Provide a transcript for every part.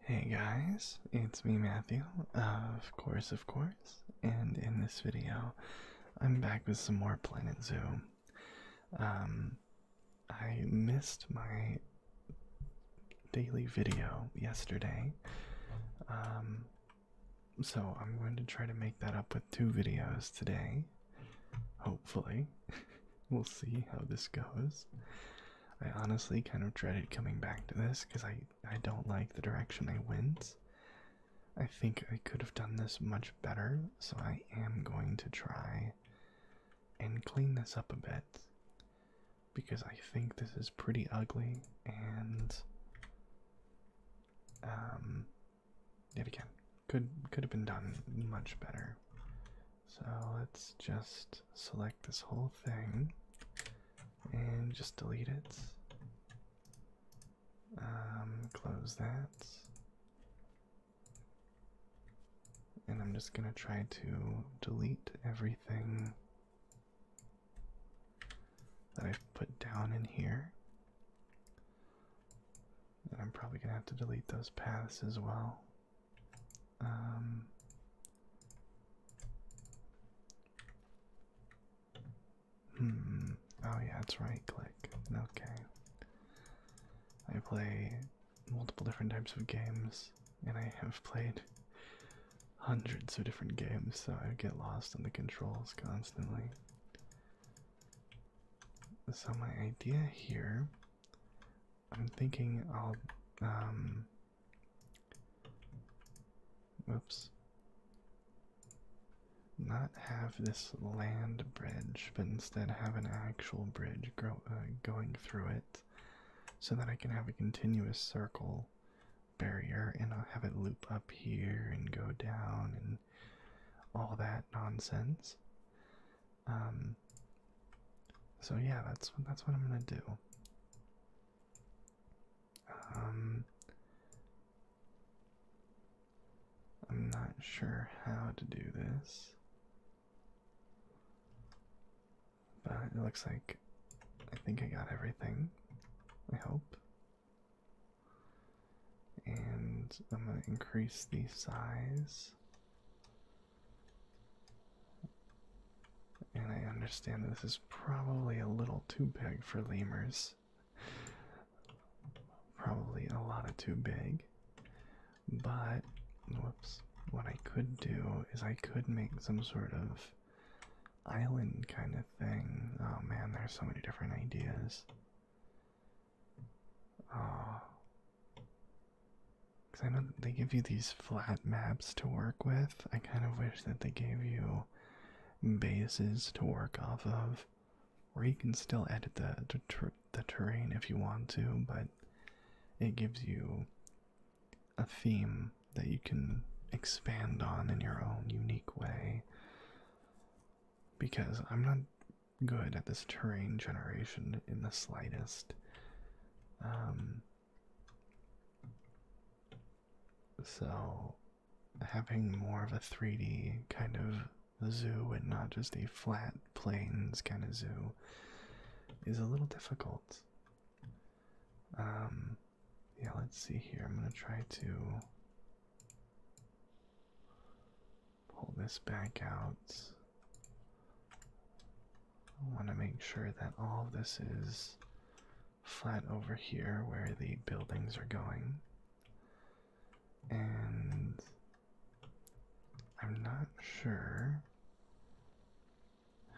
Hey guys, it's me Matthew, uh, of course, of course, and in this video, I'm back with some more Planet Zoo. Um, I missed my daily video yesterday, um, so I'm going to try to make that up with two videos today, hopefully. we'll see how this goes. I honestly kind of dreaded coming back to this because I I don't like the direction I went. I think I could have done this much better, so I am going to try and clean this up a bit because I think this is pretty ugly and um yet again could could have been done much better so let's just select this whole thing and just delete it. Um, close that. And I'm just going to try to delete everything that i put down in here. And I'm probably going to have to delete those paths as well. Um, hmm. Oh yeah, it's right click. Okay. I play multiple different types of games, and I have played hundreds of different games, so I get lost on the controls constantly. So my idea here I'm thinking I'll um oops not have this land bridge but instead have an actual bridge grow, uh, going through it so that I can have a continuous circle barrier and I'll have it loop up here and go down and all that nonsense um, so yeah, that's that's what I'm gonna do. Um, I'm not sure how to do this, but it looks like I think I got everything. I hope. And I'm gonna increase the size and I understand this is probably a little too big for lemurs. Probably a lot of too big. But, whoops, what I could do is I could make some sort of island kind of thing. Oh man, there's so many different ideas. Oh. Because I know they give you these flat maps to work with. I kind of wish that they gave you bases to work off of, where you can still edit the, the, terrain if you want to, but it gives you a theme that you can expand on in your own unique way. Because I'm not good at this terrain generation in the slightest. Um, so, having more of a 3D kind of zoo and not just a flat plains kind of zoo is a little difficult. Um, yeah, let's see here. I'm going to try to pull this back out. I want to make sure that all of this is flat over here where the buildings are going. And I'm not sure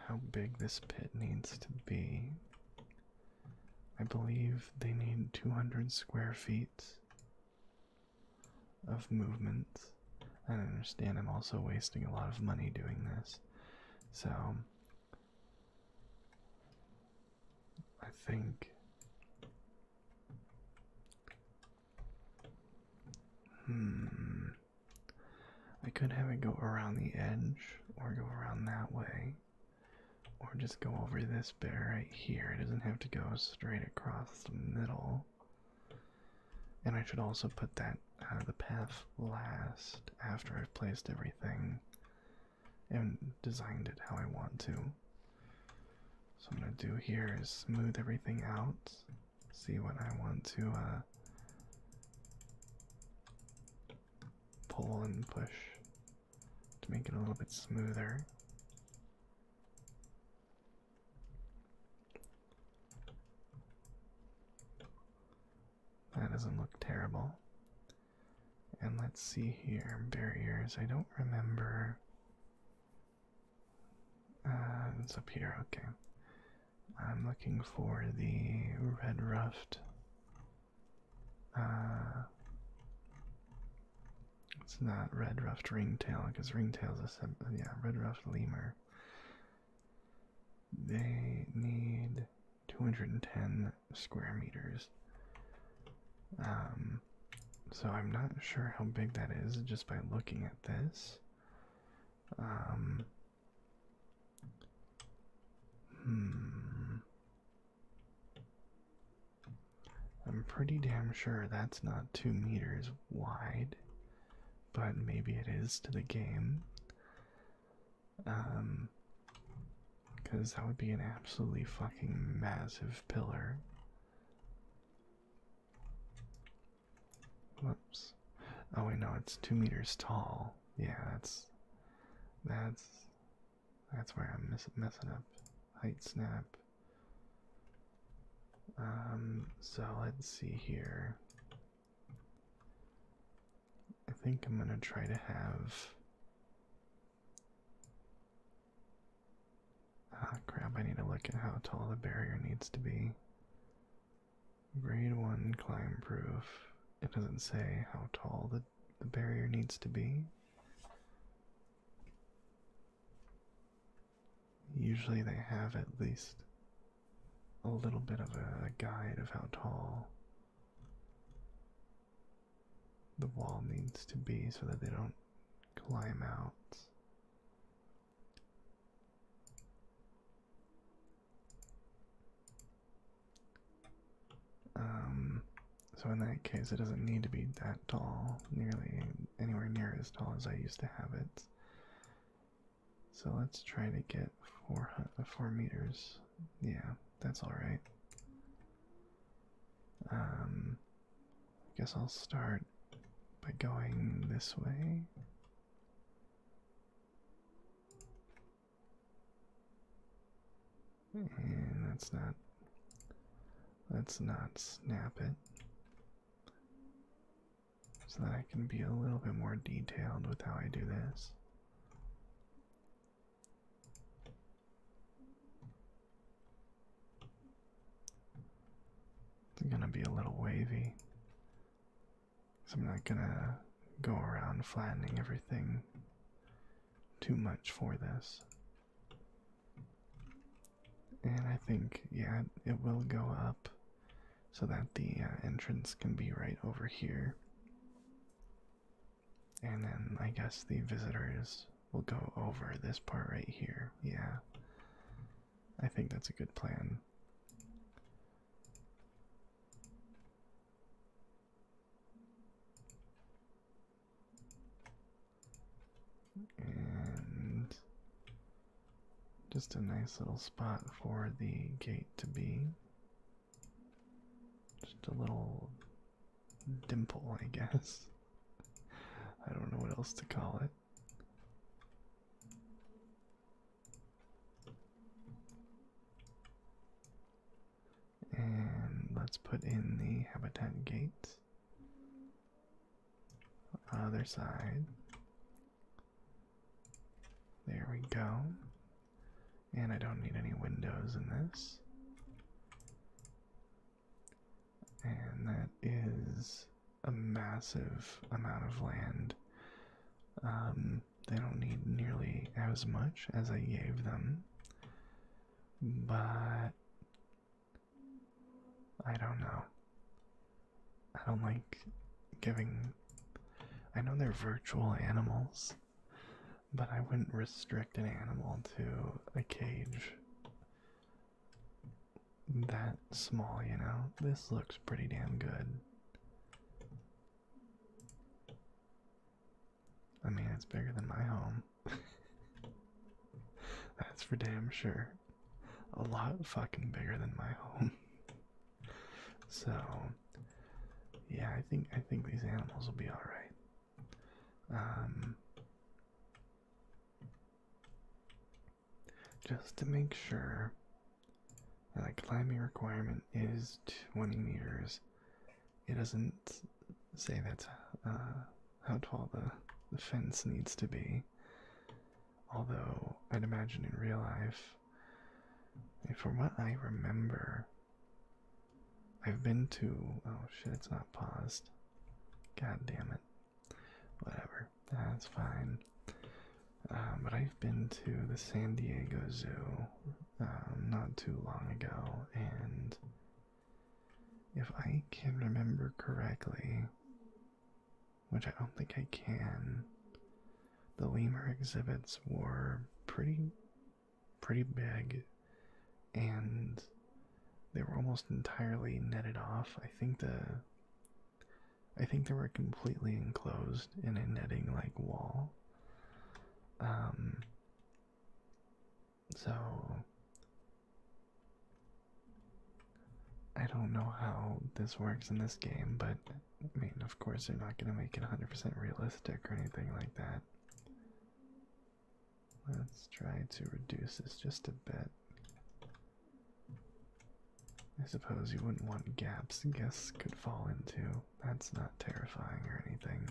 how big this pit needs to be. I believe they need 200 square feet of movement. I don't understand. I'm also wasting a lot of money doing this. So I think Hmm I could have it go around the edge or go around that way. Or just go over this bit right here. It doesn't have to go straight across the middle. And I should also put that uh, the path last after I've placed everything and designed it how I want to. So I'm gonna do here is smooth everything out, see what I want to uh, pull and push to make it a little bit smoother. That doesn't look terrible. And let's see here. Barriers. I don't remember. Uh, it's up here. Okay. I'm looking for the red ruffed. Uh, it's not red ruffed ringtail because ringtail's a sub. Yeah, red ruffed lemur. They need 210 square meters. Um, so I'm not sure how big that is just by looking at this. Um, hmm. I'm pretty damn sure that's not two meters wide but maybe it is to the game. Um, because that would be an absolutely fucking massive pillar. Whoops. Oh wait, no, it's two meters tall. Yeah, that's that's that's where I'm miss messing up. Height snap. Um, so let's see here. I think I'm going to try to have. Ah, crap, I need to look at how tall the barrier needs to be. Grade 1 climb proof. It doesn't say how tall the, the barrier needs to be usually they have at least a little bit of a guide of how tall the wall needs to be so that they don't climb out. Um, so in that case, it doesn't need to be that tall, nearly anywhere near as tall as I used to have it. So let's try to get four, uh, four meters. Yeah, that's all right. Um, I guess I'll start by going this way. And that's not. Let's not snap it so that I can be a little bit more detailed with how I do this. It's gonna be a little wavy. So I'm not gonna go around flattening everything too much for this. And I think, yeah, it will go up so that the uh, entrance can be right over here. And then I guess the visitors will go over this part right here. Yeah. I think that's a good plan. And just a nice little spot for the gate to be. Just a little dimple, I guess. I don't know what else to call it. And let's put in the habitat gate. Other side. There we go. And I don't need any windows in this. And that is a massive amount of land. Um, they don't need nearly as much as I gave them, but I don't know. I don't like giving. I know they're virtual animals, but I wouldn't restrict an animal to a cage that small, you know? This looks pretty damn good. I mean, it's bigger than my home. That's for damn sure. A lot fucking bigger than my home. So yeah, I think I think these animals will be all right. Um, just to make sure that climbing requirement is 20 meters. It doesn't say that uh, how tall the, the fence needs to be. Although, I'd imagine in real life, for what I remember, I've been to. Oh shit, it's not paused. God damn it. Whatever. That's fine. Um, but I've been to the San Diego Zoo um, not too long ago, and if I can remember correctly, which I don't think I can. The lemur exhibits were pretty pretty big and they were almost entirely netted off. I think the I think they were completely enclosed in a netting like wall. Um so I don't know how this works in this game, but I mean, of course, they're not going to make it 100% realistic or anything like that. Let's try to reduce this just a bit. I suppose you wouldn't want gaps guests could fall into. That's not terrifying or anything.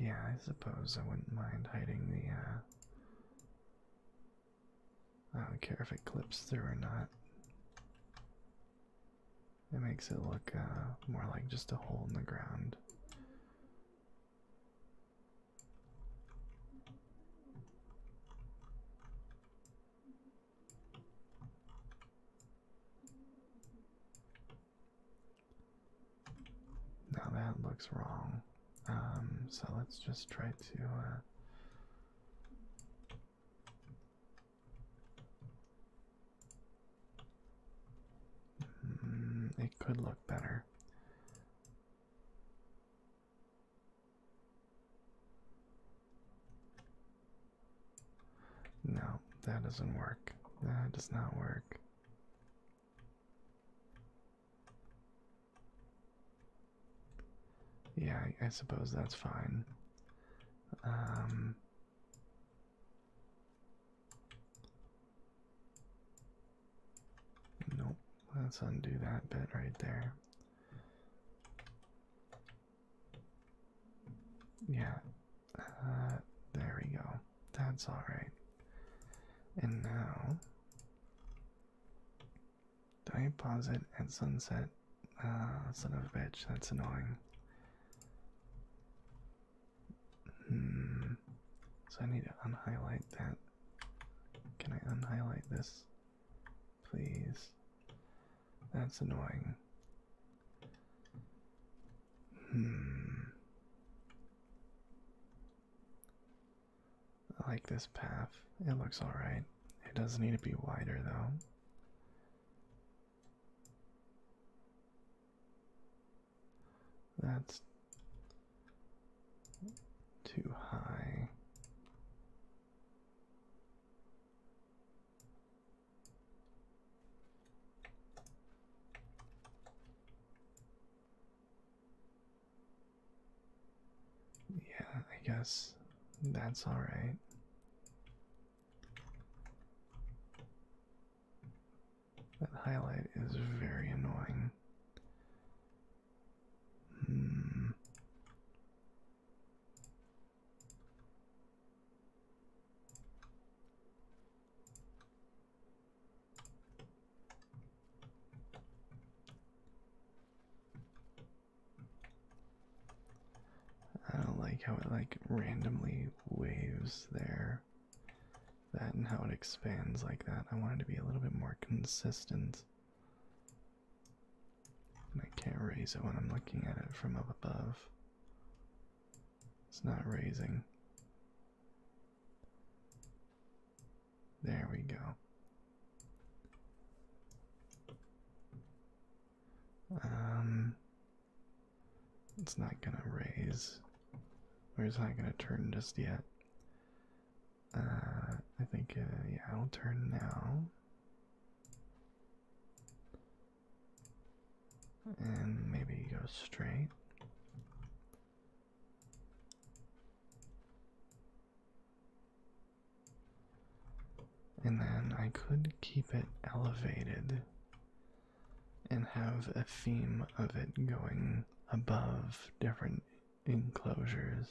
Yeah, I suppose I wouldn't mind hiding the, uh, I don't care if it clips through or not. It makes it look uh, more like just a hole in the ground. Now that looks wrong. Um, so let's just try to. Uh, hmm, it could look better. No, that doesn't work. That does not work. Yeah, I, suppose that's fine. Um, nope, let's undo that bit right there. Yeah, uh, there we go that's all right. And now, do I pause it at sunset? Ah, son of a bitch, that's annoying. Hmm. So I need to unhighlight that. Can I unhighlight this? Please. That's annoying. Hmm. I like this path. It looks alright. It does need to be wider though. That's too high. Yeah, I guess that's alright. That highlight is very annoying. Hmm. I don't like how it like randomly waves there. That and how it expands like that. I want it to be a little bit more consistent. And I can't raise it when I'm looking at it from up above. It's not raising. There we go. Um, it's not gonna raise, or it's not gonna turn just yet. Uh, I think, uh, yeah, I'll turn now. And maybe go straight. And then I could keep it elevated and have a theme of it going above different enclosures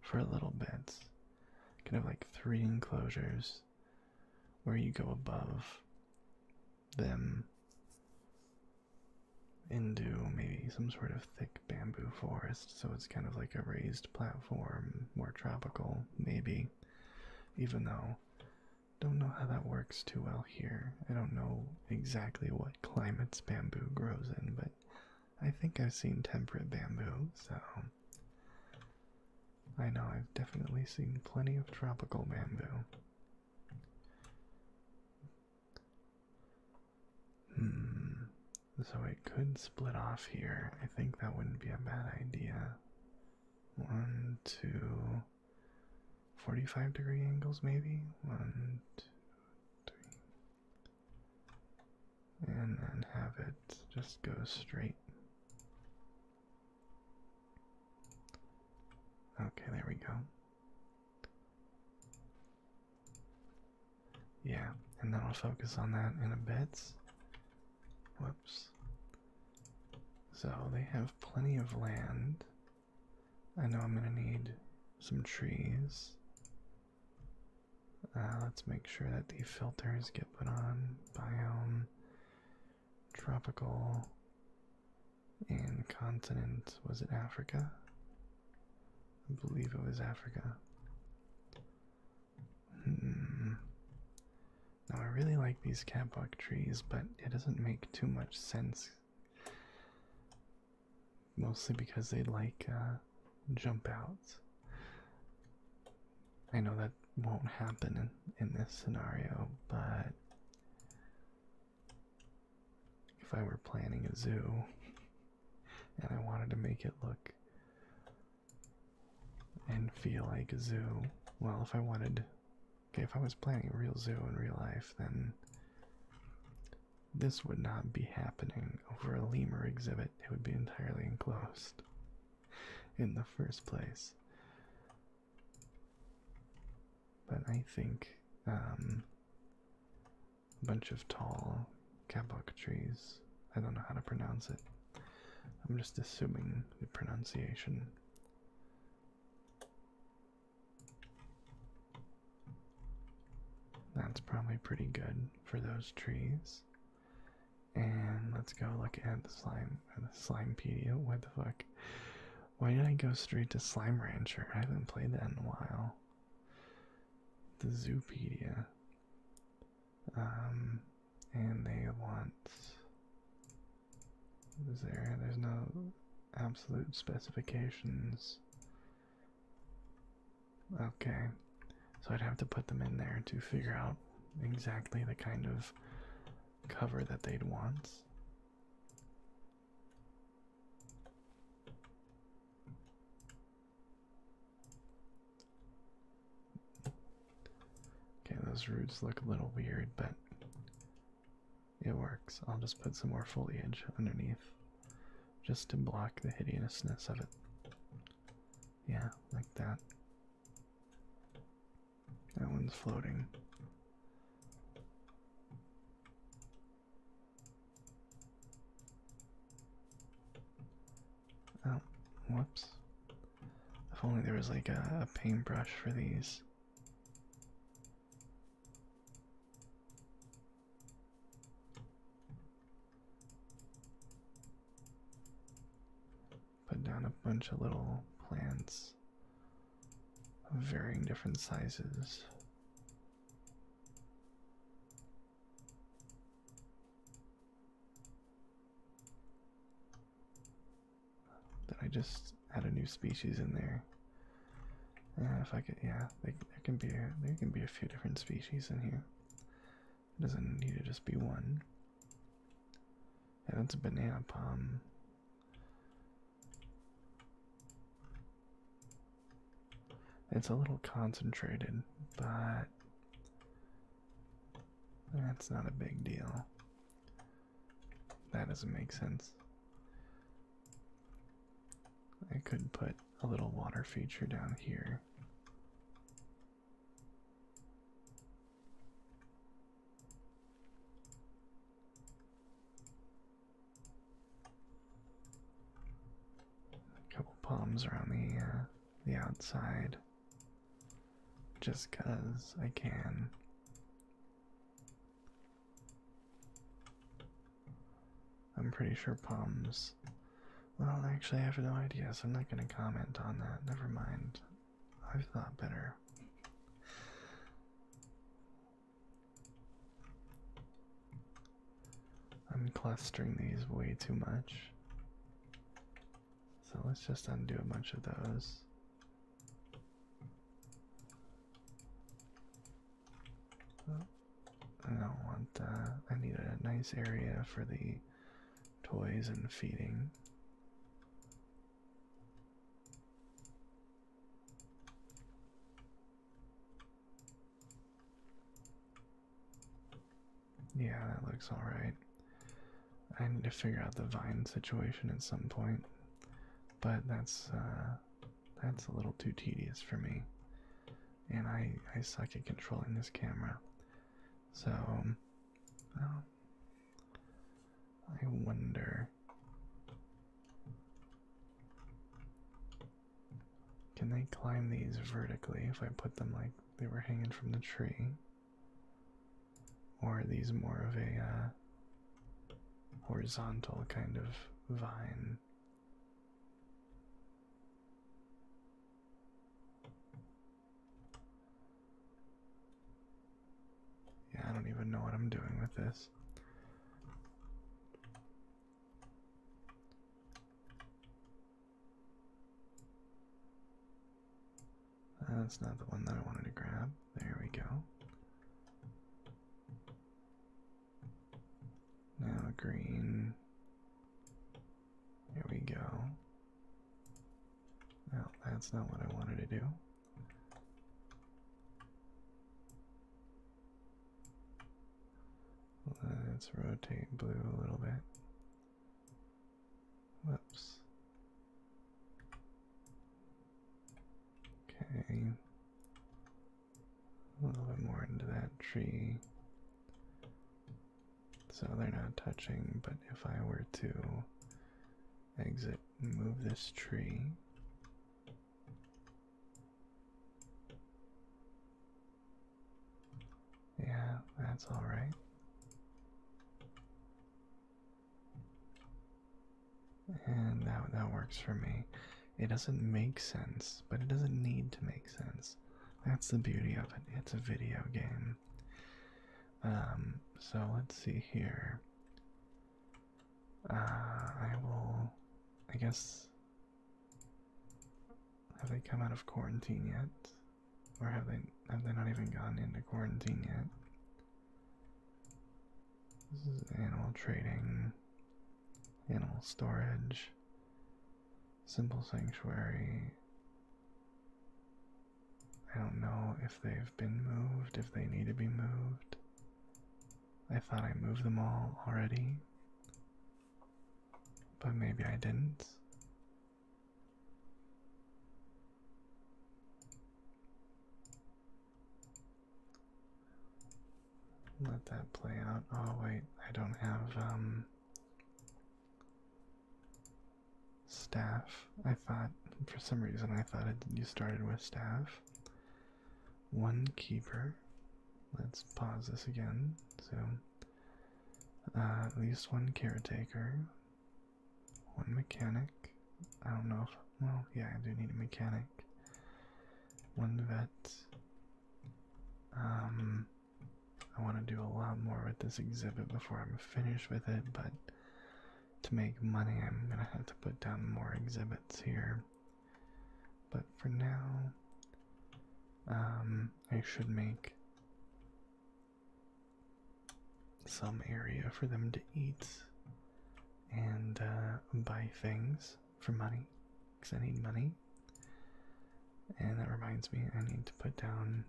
for little bits. Kind of like three enclosures where you go above them into maybe some sort of thick bamboo forest, so it's kind of like a raised platform, more tropical, maybe. Even though, don't know how that works too well here. I don't know exactly what climates bamboo grows in, but I think I've seen temperate bamboo, so. I know I've definitely seen plenty of tropical bamboo. Hmm. So it could split off here. I think that wouldn't be a bad idea. One, two, 45 degree angles maybe? One, two, three. And then have it just go straight. Okay, there we go. Yeah, and then I'll focus on that in a bit. Whoops. So they have plenty of land. I know I'm gonna need some trees. Uh, let's make sure that the filters get put on. Biome, tropical, and continent, was it Africa? I believe it was Africa. Hmm. Now I really like these catbuck trees, but it doesn't make too much sense. Mostly because they like uh, jump out. I know that won't happen in, in this scenario, but if I were planning a zoo and I wanted to make it look and feel like a zoo, well, if I wanted, okay, if I was planning a real zoo in real life, then this would not be happening over a lemur exhibit. It would be entirely enclosed in the first place. But I think um, a bunch of tall kabak trees. I don't know how to pronounce it. I'm just assuming the pronunciation. That's probably pretty good for those trees. And let's go look at the slime, the slimepedia. What the fuck? Why did I go straight to Slime Rancher? I haven't played that in a while. The Zoopedia. Um, and they want. Is there? There's no absolute specifications. Okay, so I'd have to put them in there to figure out exactly the kind of cover that they'd want. Okay, those roots look a little weird, but it works. I'll just put some more foliage underneath just to block the hideousness of it. Yeah, like that. That one's floating. Oh, whoops. If only there was like a, paintbrush for these. Put down a bunch of little plants of varying different sizes. Did I just add a new species in there? Uh, if I could, yeah, there can be a, there can be a few different species in here. It doesn't need to just be one. And it's a banana palm. It's a little concentrated, but that's not a big deal. That doesn't make sense. I could put a little water feature down here. A couple palms around the uh, the outside, just cause I can. I'm pretty sure palms. Well, actually, I have no idea, so I'm not gonna comment on that. Never mind. I've thought better. I'm clustering these way too much. So let's just undo a bunch of those. Oh, I don't want that. I need a nice area for the toys and feeding. Yeah, that looks alright. I need to figure out the vine situation at some point, but that's uh, that's a little too tedious for me, and I I suck at controlling this camera, so I wonder can they climb these vertically if I put them like they were hanging from the tree? Or are these more of a uh, horizontal kind of vine? Yeah, I don't even know what I'm doing with this. That's not the one that I wanted to grab. There we go. Now green. Here we go. Now that's not what I wanted to do. Let's rotate blue a little bit. Whoops. Okay. A little bit more into that tree. So they're not touching, but if I were to exit and move this tree, yeah, that's all right. And that, that works for me. It doesn't make sense, but it doesn't need to make sense. That's the beauty of it. It's a video game. Um, so let's see here. Uh, I will, I guess, have they come out of quarantine yet? Or have they, have they not even gone into quarantine yet? This is animal trading, animal storage, simple sanctuary. I don't know if they've been moved, if they need to be moved. I thought I moved them all already, but maybe I didn't. Let that play out. Oh, wait, I don't have um, staff. I thought, for some reason, I thought you started with staff one keeper. Let's pause this again. So, uh, at least one caretaker, one mechanic. I don't know if, well, yeah, I do need a mechanic. One vet. Um, I want to do a lot more with this exhibit before I'm finished with it, but to make money, I'm gonna have to put down more exhibits here. But for now, um, I should make some area for them to eat and uh, buy things for money because I need money. And that reminds me, I need to put down.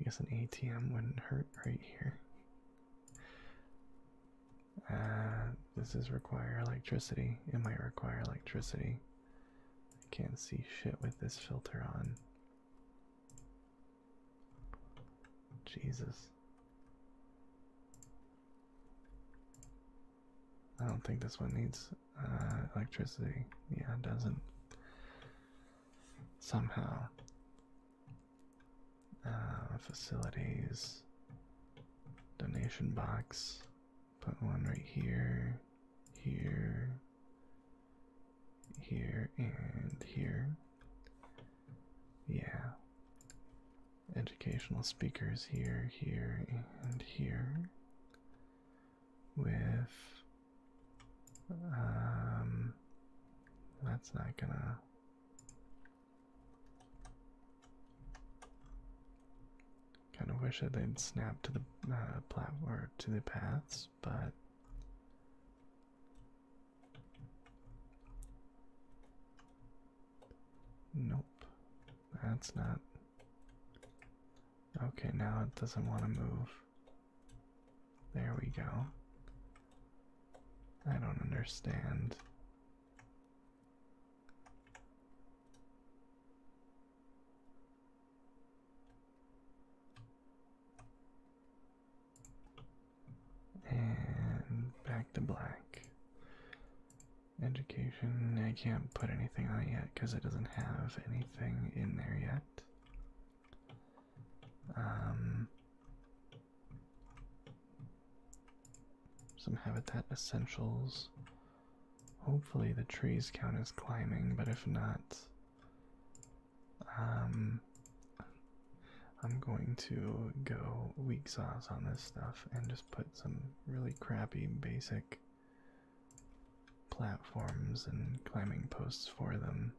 I guess an ATM wouldn't hurt right here. Uh, this is require electricity. It might require electricity. I can't see shit with this filter on. Jesus. I don't think this one needs uh, electricity. Yeah, it doesn't. Somehow. Uh, facilities, donation box. Put one right here, here, here, and here. Yeah. Educational speakers here, here, and here. With. Um. That's not gonna. Kind of wish i they'd snap to the uh, platform to the paths, but nope. That's not okay. Now it doesn't want to move. There we go. I don't understand. And back to black. Education, I can't put anything on it yet because it doesn't have anything in there yet. Um, some habitat essentials. Hopefully the trees count as climbing, but if not, um, I'm going to go weak sauce on this stuff and just put some really crappy basic platforms and climbing posts for them.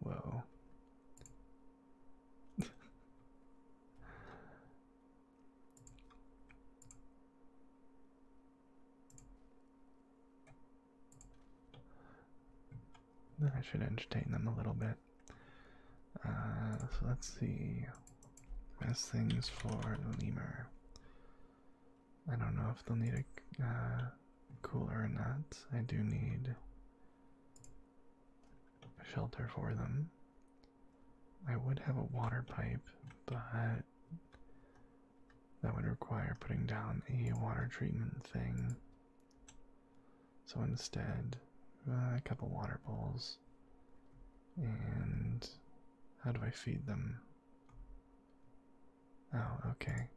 Whoa. Then I should entertain them a little bit. Uh, so let's see. Best things for the lemur. I don't know if they'll need a uh, cooler or not. I do need shelter for them. I would have a water pipe, but that would require putting down a water treatment thing. So instead, uh, a couple water bowls. And how do I feed them? Oh, okay.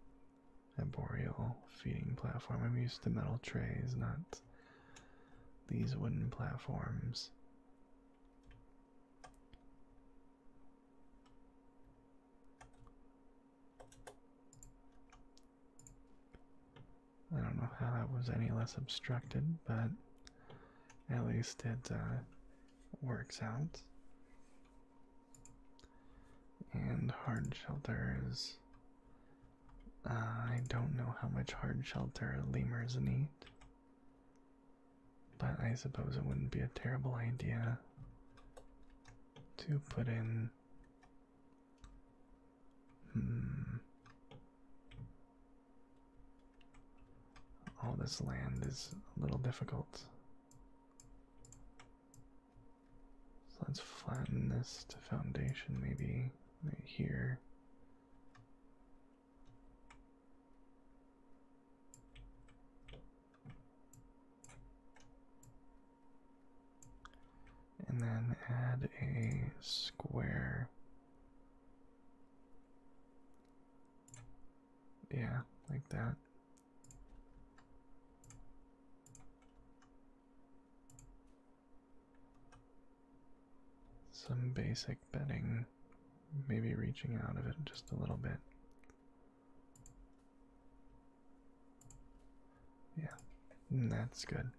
A boreal feeding platform. I'm used to metal trays, not these wooden platforms. I don't know how that was any less obstructed, but at least it uh, works out. And hard shelters. Uh, I don't know how much hard shelter lemurs need, but I suppose it wouldn't be a terrible idea to put in. Hmm. All this land is a little difficult. So let's flatten this to foundation, maybe right here. And then add a square. Yeah, like that. Some basic bedding, maybe reaching out of it just a little bit. Yeah, mm, that's good.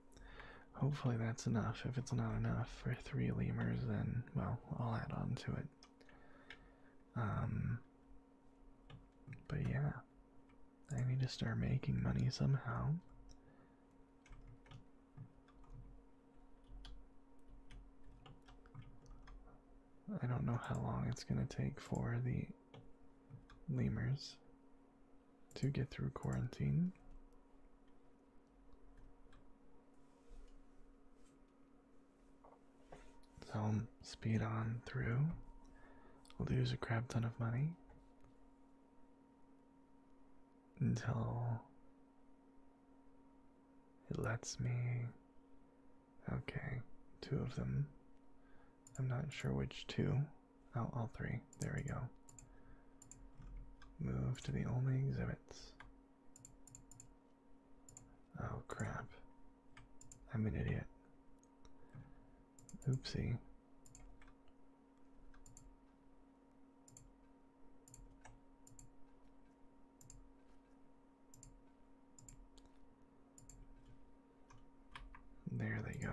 Hopefully, that's enough. If it's not enough for three lemurs, then, well, I'll add on to it. Um, but yeah, I need to start making money somehow. I don't know how long it's going to take for the lemurs to get through quarantine. So um, speed on through, We'll lose a crap ton of money, until it lets me. Okay, two of them. I'm not sure which two. Oh, all three. There we go. Move to the only exhibits. Oh crap. I'm an idiot. Oopsie. There they go.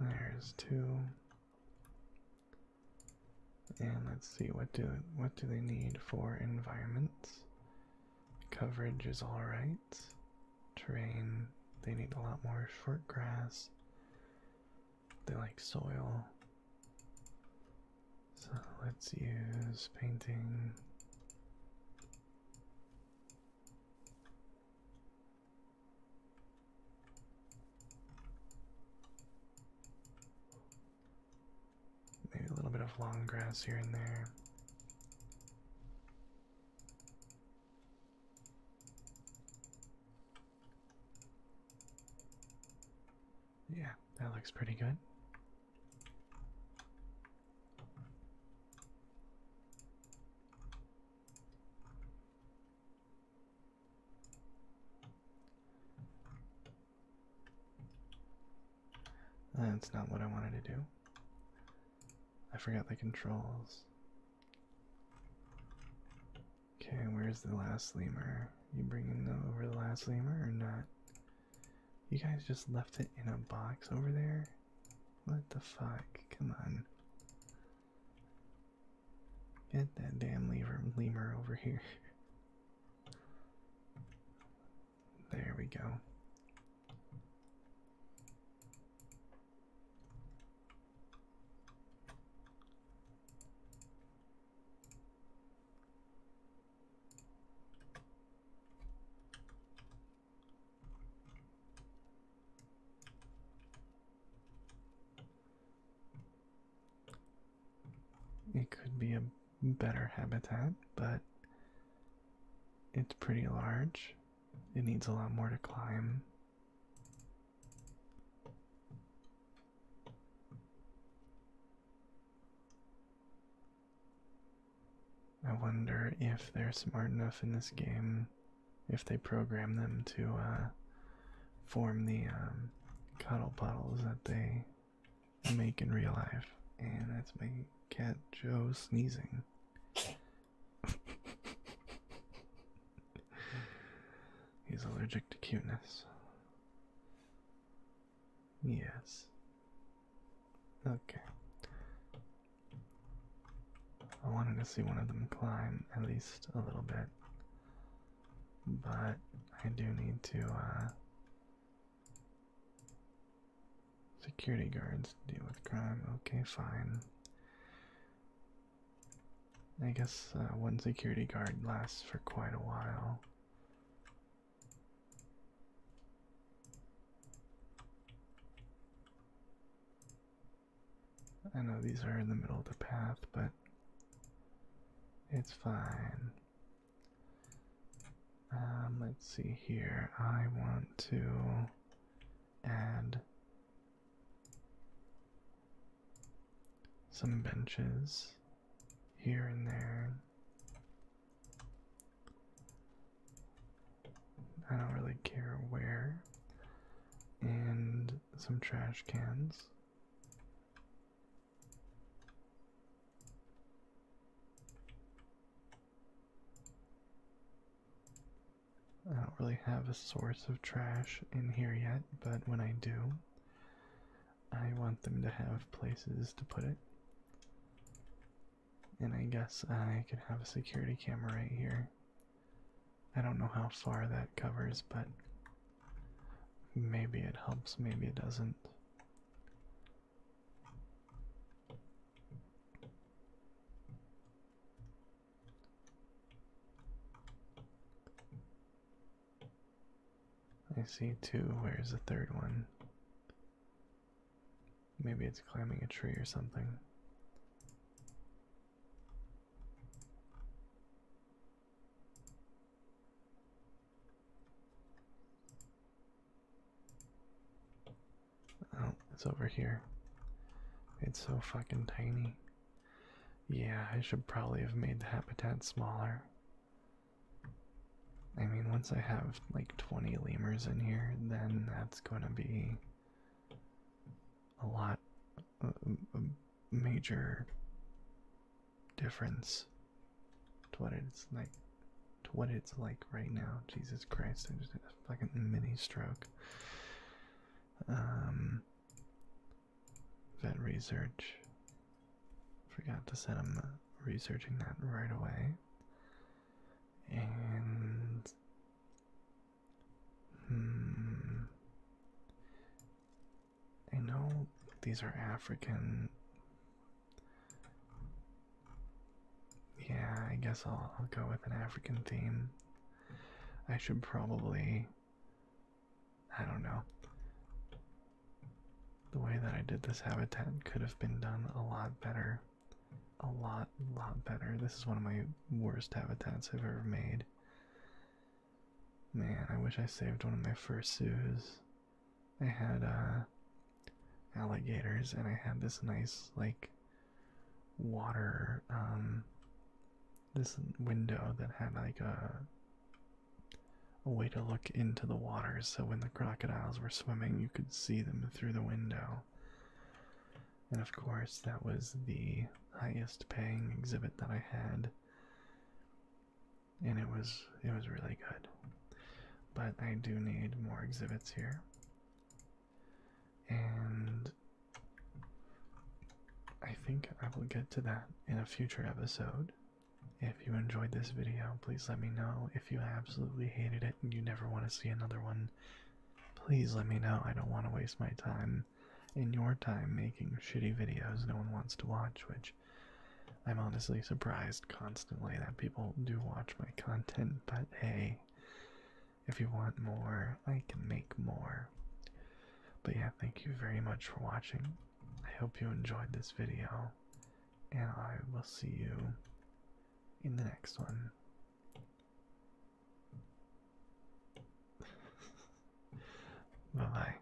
There's two. And let's see what do what do they need for environments. Coverage is all right. Terrain, they need a lot more short grass. They like soil. So let's use painting. Maybe a little bit of long grass here and there. Yeah, that looks pretty good. That's not what I wanted to do. I forgot the controls. Okay, where's the last lemur? You bringing the, over the last lemur or not? You guys just left it in a box over there? What the fuck? Come on. Get that damn lemur, lemur over here. There we go. It could be a better habitat, but it's pretty large. It needs a lot more to climb. I wonder if they're smart enough in this game, if they program them to uh, form the um, cuddle puddles that they make in real life, and that's my cat Joe sneezing. He's allergic to cuteness. Yes. Okay. I wanted to see one of them climb at least a little bit, but I do need to uh, Security guards deal with crime. Okay, fine. I guess uh, one security guard lasts for quite a while. I know these are in the middle of the path, but it's fine. Um, let's see here. I want to add some benches here and there. I don't really care where. And some trash cans. I don't really have a source of trash in here yet, but when I do, I want them to have places to put it. And I guess I could have a security camera right here. I don't know how far that covers, but Maybe it helps, maybe it doesn't. I see two. Where's the third one? Maybe it's climbing a tree or something. Oh, it's over here. It's so fucking tiny. Yeah, I should probably have made the habitat smaller. I mean, once I have like 20 lemurs in here, then that's gonna be a lot, major difference to what it's like to what it's like right now. Jesus Christ, I just had a fucking mini stroke. Um vet research. Forgot to set him uh, researching that right away. And hmm. I know these are African. Yeah, I guess I'll, go with an African theme. I should probably. I don't know. The way that I did this habitat could have been done a lot better. A lot, lot better. This is one of my worst habitats I've ever made. Man, I wish I saved one of my first fursuits. I had uh, alligators, and I had this nice like water um, this window that had like a way to look into the water so when the crocodiles were swimming you could see them through the window. And of course that was the highest paying exhibit that I had and it was it was really good. But I do need more exhibits here. And I think I will get to that in a future episode. If you enjoyed this video, please let me know. If you absolutely hated it and you never want to see another one, please let me know. I don't want to waste my time and your time making shitty videos no one wants to watch, which I'm honestly surprised constantly that people do watch my content, but hey, if you want more, I can make more. But yeah, thank you very much for watching. I hope you enjoyed this video, and I will see you in the next one. Bye-bye.